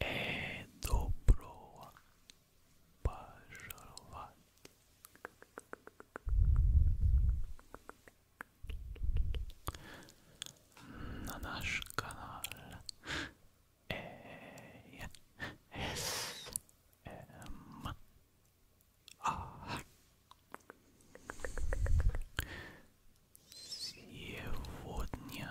э, добро пожаловать. На наш канал С М А сегодня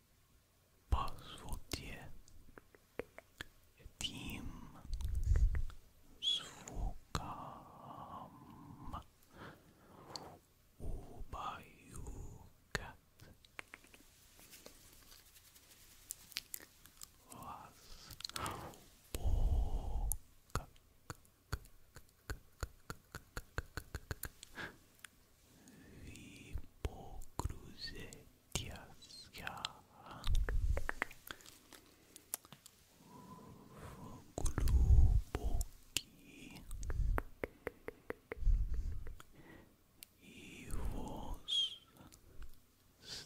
по звуке этим звукам убаюкать вас. О, как, как, как, Ви погрузитесь в глубокий и восстанавливающий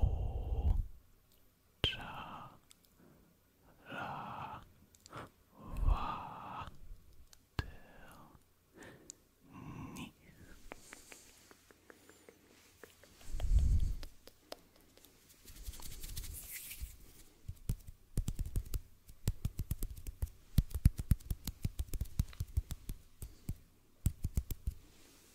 O cha ra va del ni.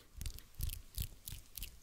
восхитительный восхитительный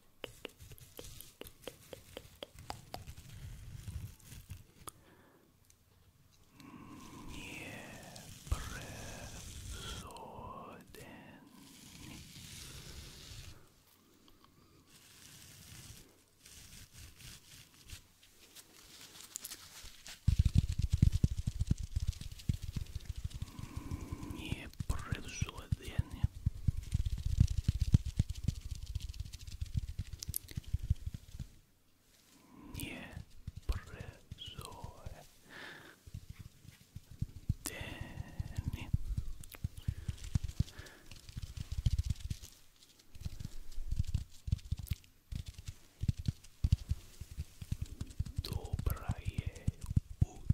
Непросоден. Непросоден. Непрозоре Дени Доброе утро.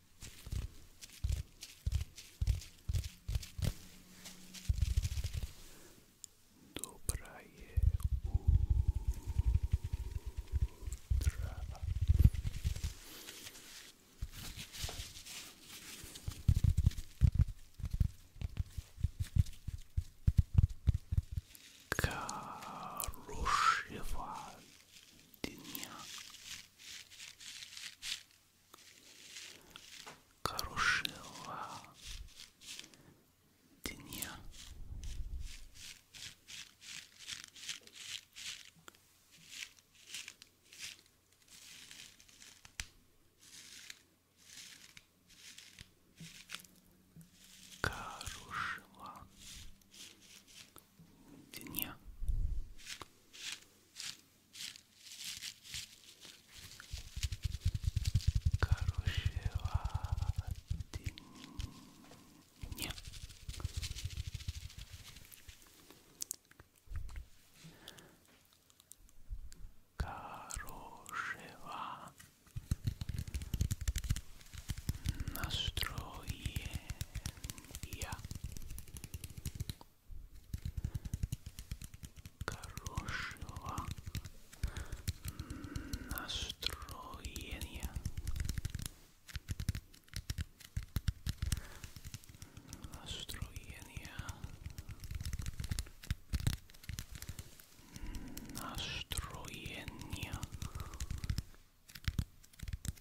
Доброе утро. Хорошего дня. Карушева дня. Карушева дня. Короче, ты мне хорошего настроения хорошего настроения настроения настроения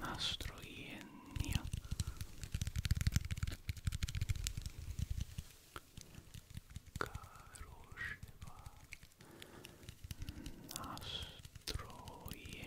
настроение хорошего настроения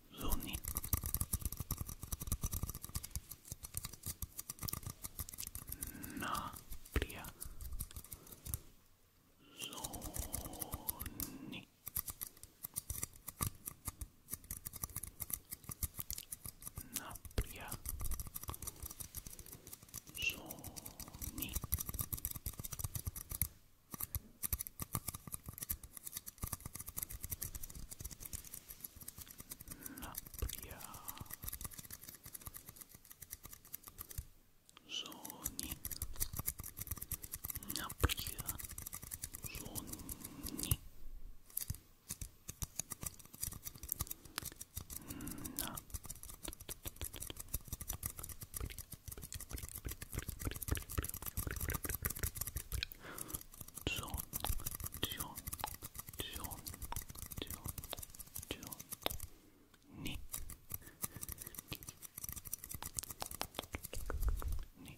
Zuni. Napria. Zoni. Napria. Zoni. напряжении, напряжении, на John, John, John, John, John, Ni, Ni. Ni.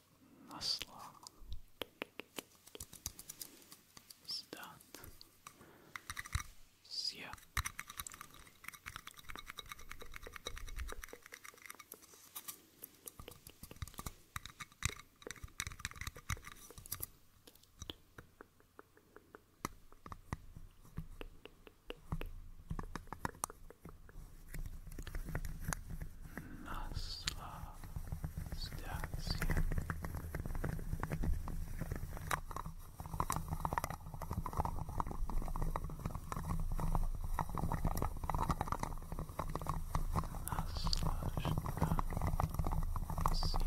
насла сдат сия Наслаждайся. Наслаждайся. Наслаждайся.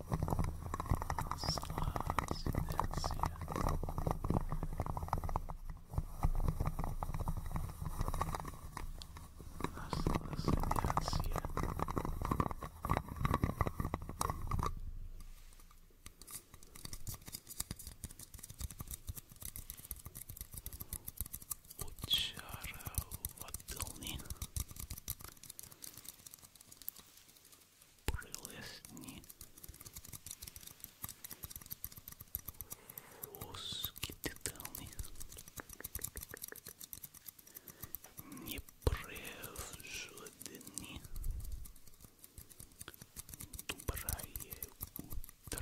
Slavs and Sia. Учаровательный прилесні воски деталні непревждені доброе утро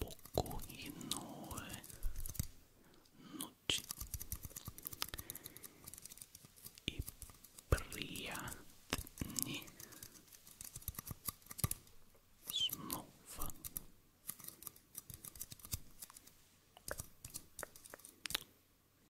Спокойной ночи и приятных снов.